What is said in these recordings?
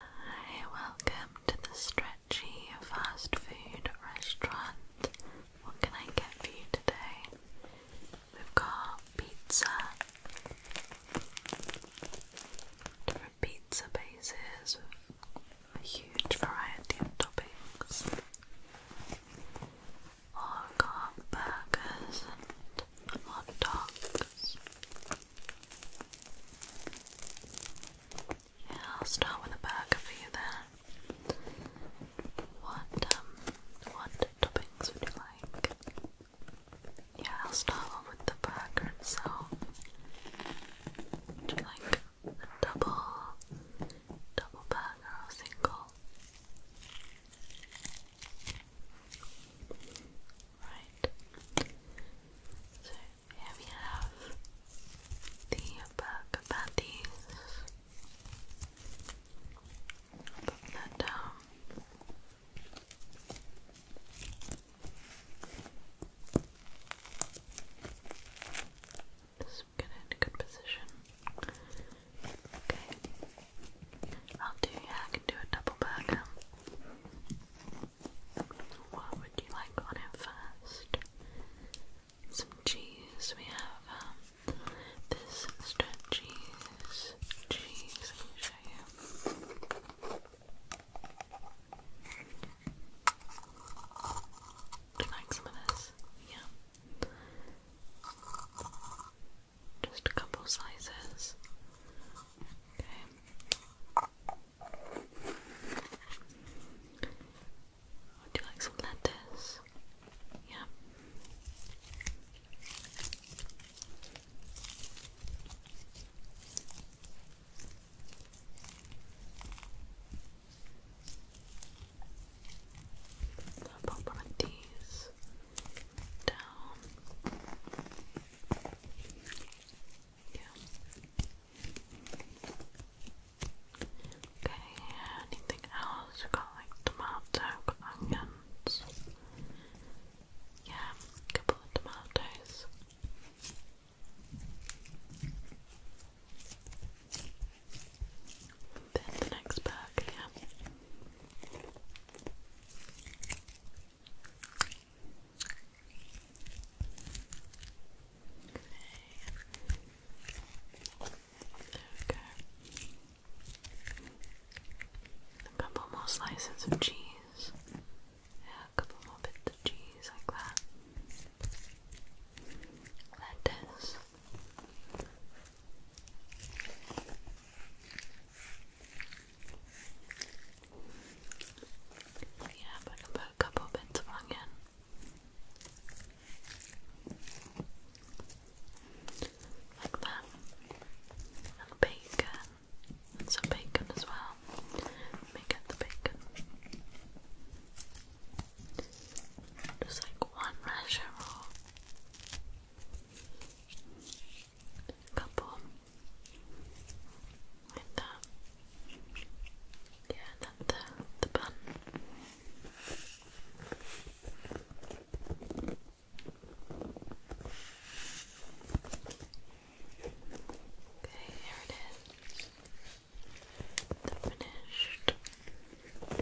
Hi, welcome to the Stretchy Fast Food Restaurant. What can I get for you today? We've got pizza, different pizza bases with a huge variety of toppings. Or got burgers and hot dogs. Yeah, I'll start with a burger for you there. What um what toppings would you like? Yeah, I'll start off with the burger itself. Would you like a double double burger or single? right? So here we have the burger patties. Put that down. Just get in a good position. Okay. I'll do I can do a double burger. What would you like on it first? Some cheese. We have um, this extra cheese. Cheese, let me show you like some of this? Yeah. Just a couple slices. Okay. Would you like some lettuce? Yeah. I'll pop one of these down. Yeah. Okay, anything else? we got like tomato, onions. Yeah, couple of tomatoes. Then the next bag, yeah. There we A couple more slices of cheese. Yeah, a couple more bits of cheese like that. Lettuce. Yeah, but a couple bits of onion. Like that. And bacon. And some bacon as well. Let me get the bacon. Just like one measure or couple with that. Yeah, that's the, the bun. Okay, here it is. The finished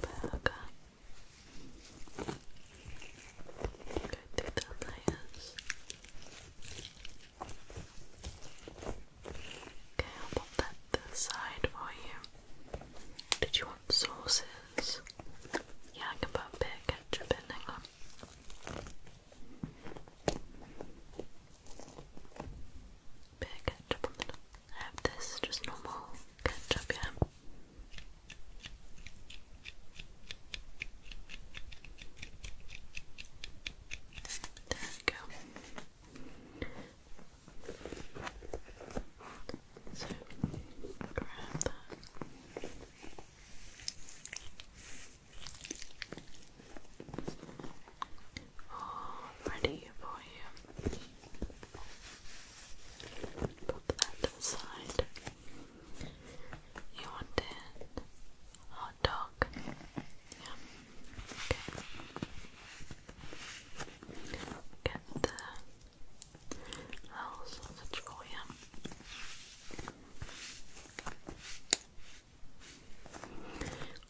burger. Okay, I'll pop that to the side for you. Did you want sauces? Yeah, I can put a ketchup on. Bit ketchup on the I have this, just normal ketchup, yeah. There we go. So grab that. All ready for you. Put that to the side. You wanted hot dog? Yeah. Okay. Get the little sausage for you.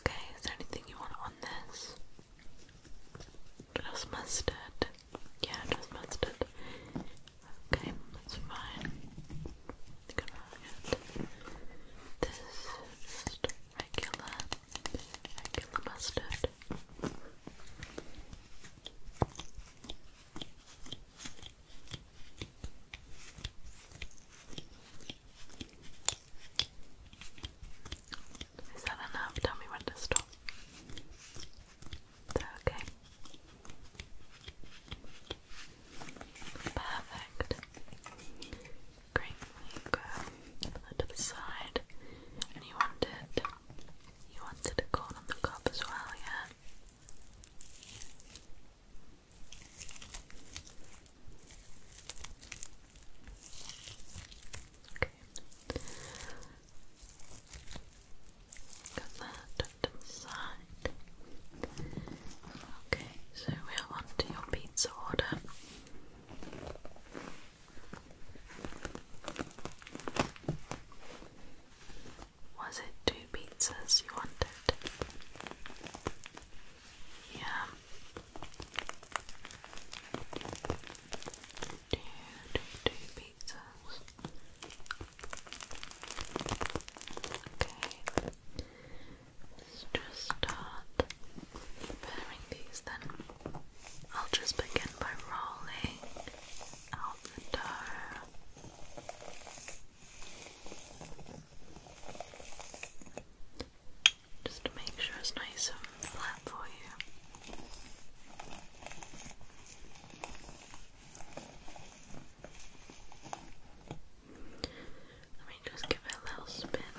Okay, is there anything you want on this? Just mustard. Yeah, just missed Okay, that's fine. going this just regular, regular mustard. Is that enough? Tell me when to stop. Okay. Perfect. Great. You go to the side, and you want You wanted a corn on the cup as well, yeah. Okay. Got that to the Okay, so we're on your pizza order. Was it two pizzas you wanted? Yeah two, two, two pizzas. Okay, let's just start preparing these then. I'll just begin by rolling out the dough. Just make sure it's nice and flat for you. Let me just give it a little spin.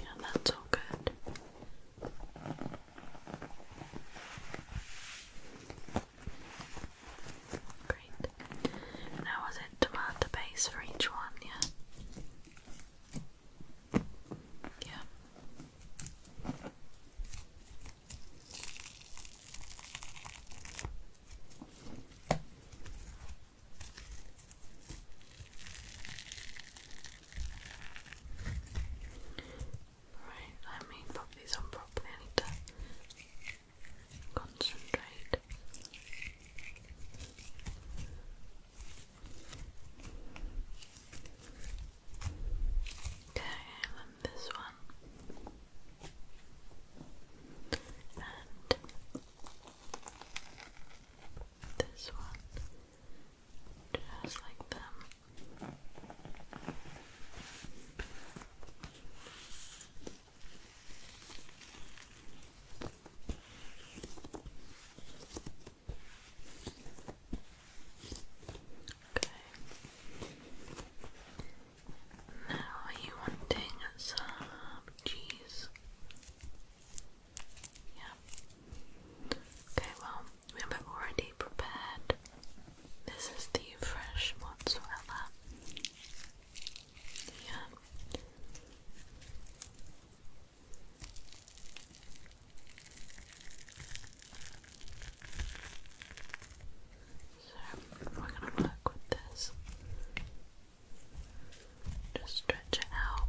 Yeah, that's all good. Great it. Now was it to add the base for each one, yeah? Yeah. Right, let me pop these on properly. Concentrate. Okay, and this one. And this one. Just like them. Okay. Now, are you wanting some cheese? Yeah. Okay, well, we have already prepared. This is the fresh mozzarella. So we're gonna work with this. Just stretch it out.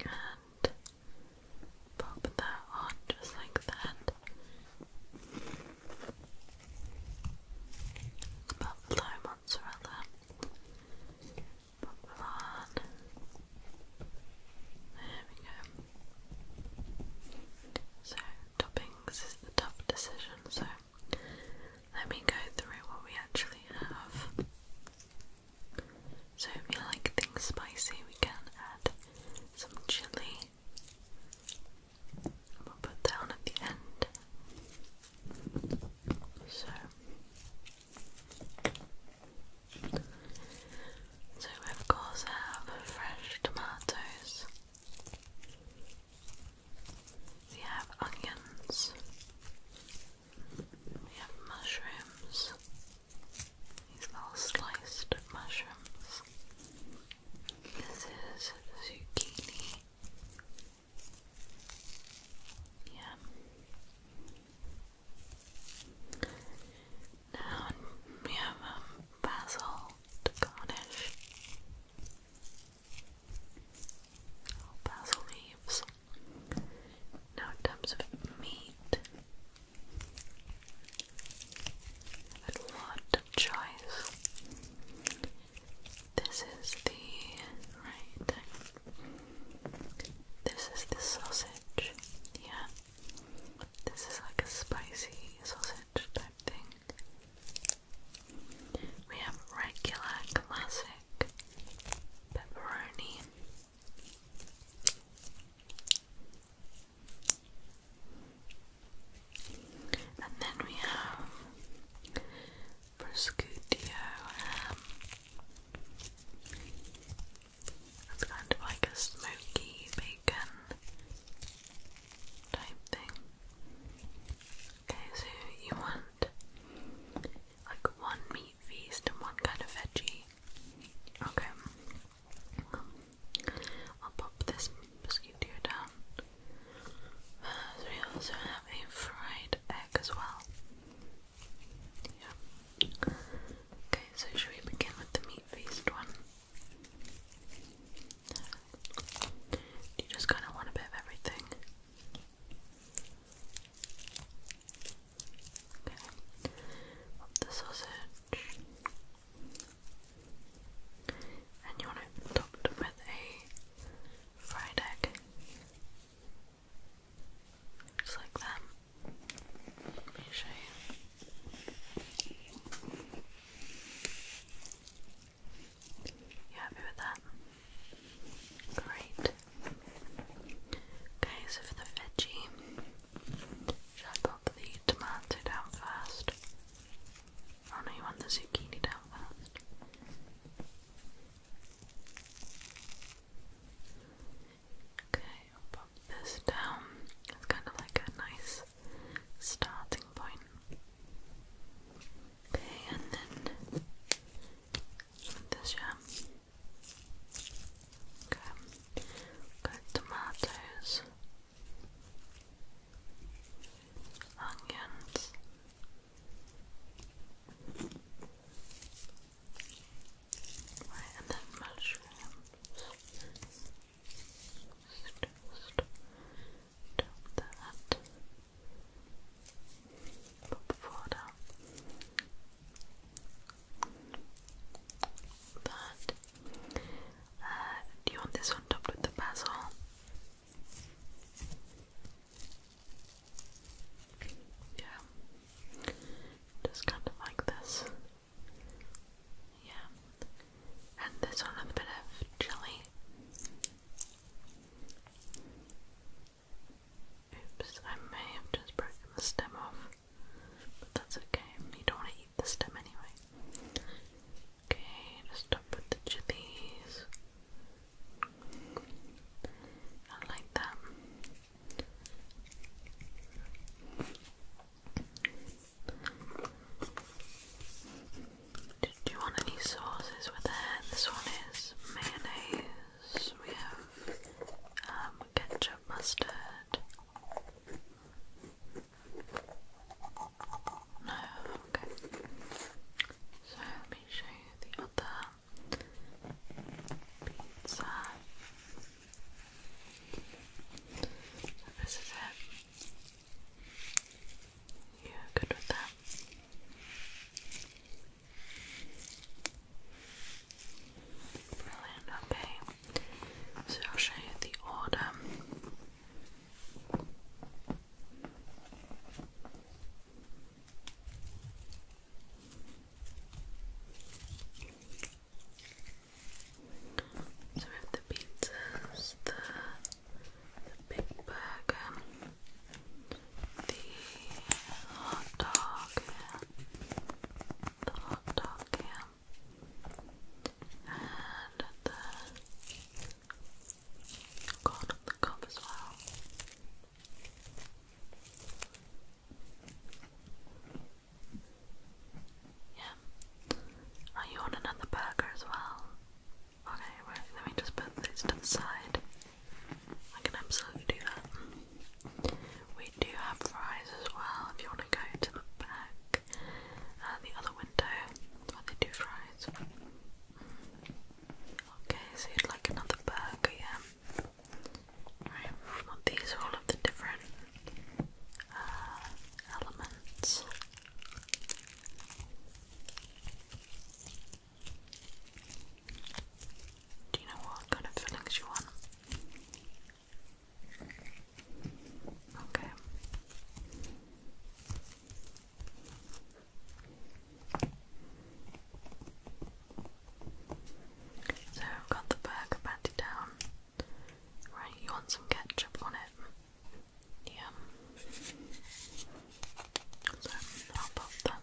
And Pop that on just like that. Pop the mozzarella. Pop it There we go. So, toppings is the tough decision, so let me go through what we actually have. So if you like things spicy, we can add some chili. We'll put down at the end. So, so we of course have fresh tomatoes. We have onions. We have mushrooms. These little sliced mushrooms. This is zucchini. Yeah. Now we have um, basil to garnish. Oh, basil leaves. Now in terms of meat, and what a choice. This is the right. This is the sausage. Yeah. This is like a spicy sausage type thing. We have regular classic pepperoni and then we have Prosciutto It's um, kind of like a smoky bacon type thing. Okay, so you want like one meat meat feast and one kind of veggie. Okay. I'll pop this mosquito down. so we also have a fried egg as well. Yeah. Okay, so should we begin with the meat feast one? You just kind of want a bit of everything the sausage. And you want it topped with a fried egg. Just like that. You happy with that? Great. Okay, so for the veggie, should I pop the tomato down first? Oh no, you want the zucchini down first. Okay, I'll pop this down. It's kind of like a nice starting point. Okay, and then this, yeah. Okay. Good tomatoes, onions. Right, and then mushrooms. Just dump that folder. But uh, do you want this one topped with the basil? Yeah, just kind of like this. Yeah, and this one with a bit of jelly. Oops, I may have just broken the stem off, but that's okay. You don't want to eat the stem anyway. Okay, just up with the chilies. I like that. Did you want any sauces with it? This one is mayonnaise is we have um, ketchup mustard. No, okay. So let me show you the other pizza. this is it. you good with that. Brilliant, okay. So I'll show you the order. So we have the pizzas, the, big burger, the hot dog the hot dog cam and the God of the cup as well. Yeah. Are you on another burger as well? Okay, right, let me just put these to the side. I can absolutely do that. We do have fries as well if you want to go to the back, uh, the other window where they do fries. Okay, so you'd like another burger, yeah? Right, these are all of the different uh, elements. Do you know what kind of fillings you want? Okay. So I've got the burger patty down. Right, you want some ketchup on it? Yeah. So I'll pop that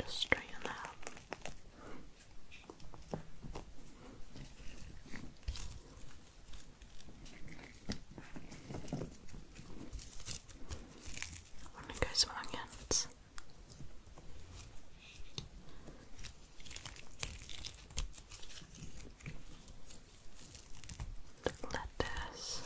Just straighten that up. I'm gonna go some onions. Lettuce.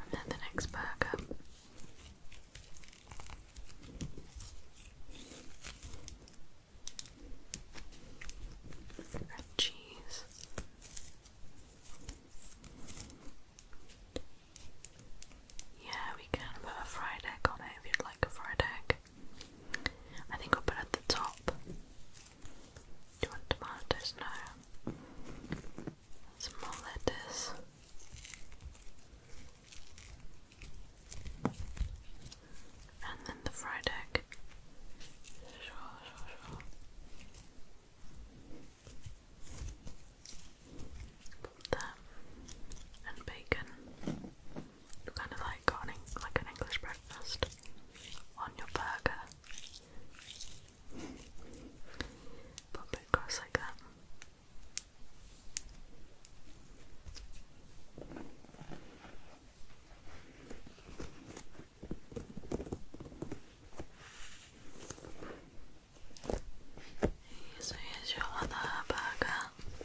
And then the next burger. Red cheese. Yeah, we can put a fried egg on it if you'd like a fried egg. I think I'll put it at the top. Do you want tomatoes? No. Some more And then the fried egg. Sure, sure, sure. Put that and bacon you kind of like got like an English breakfast on your burger, but a bit like that. So here's your other burger.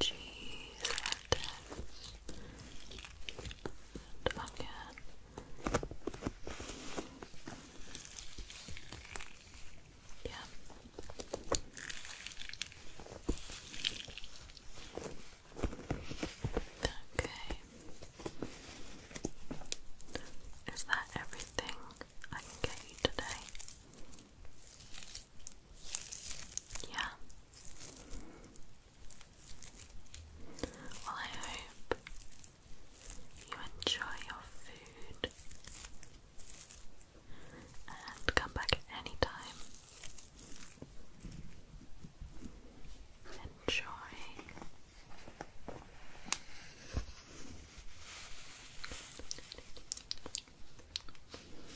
cheese and Yeah. Okay. Is that everything I can get you today? Yeah. Well, I hope you enjoy your food and come back at any time. Enjoy.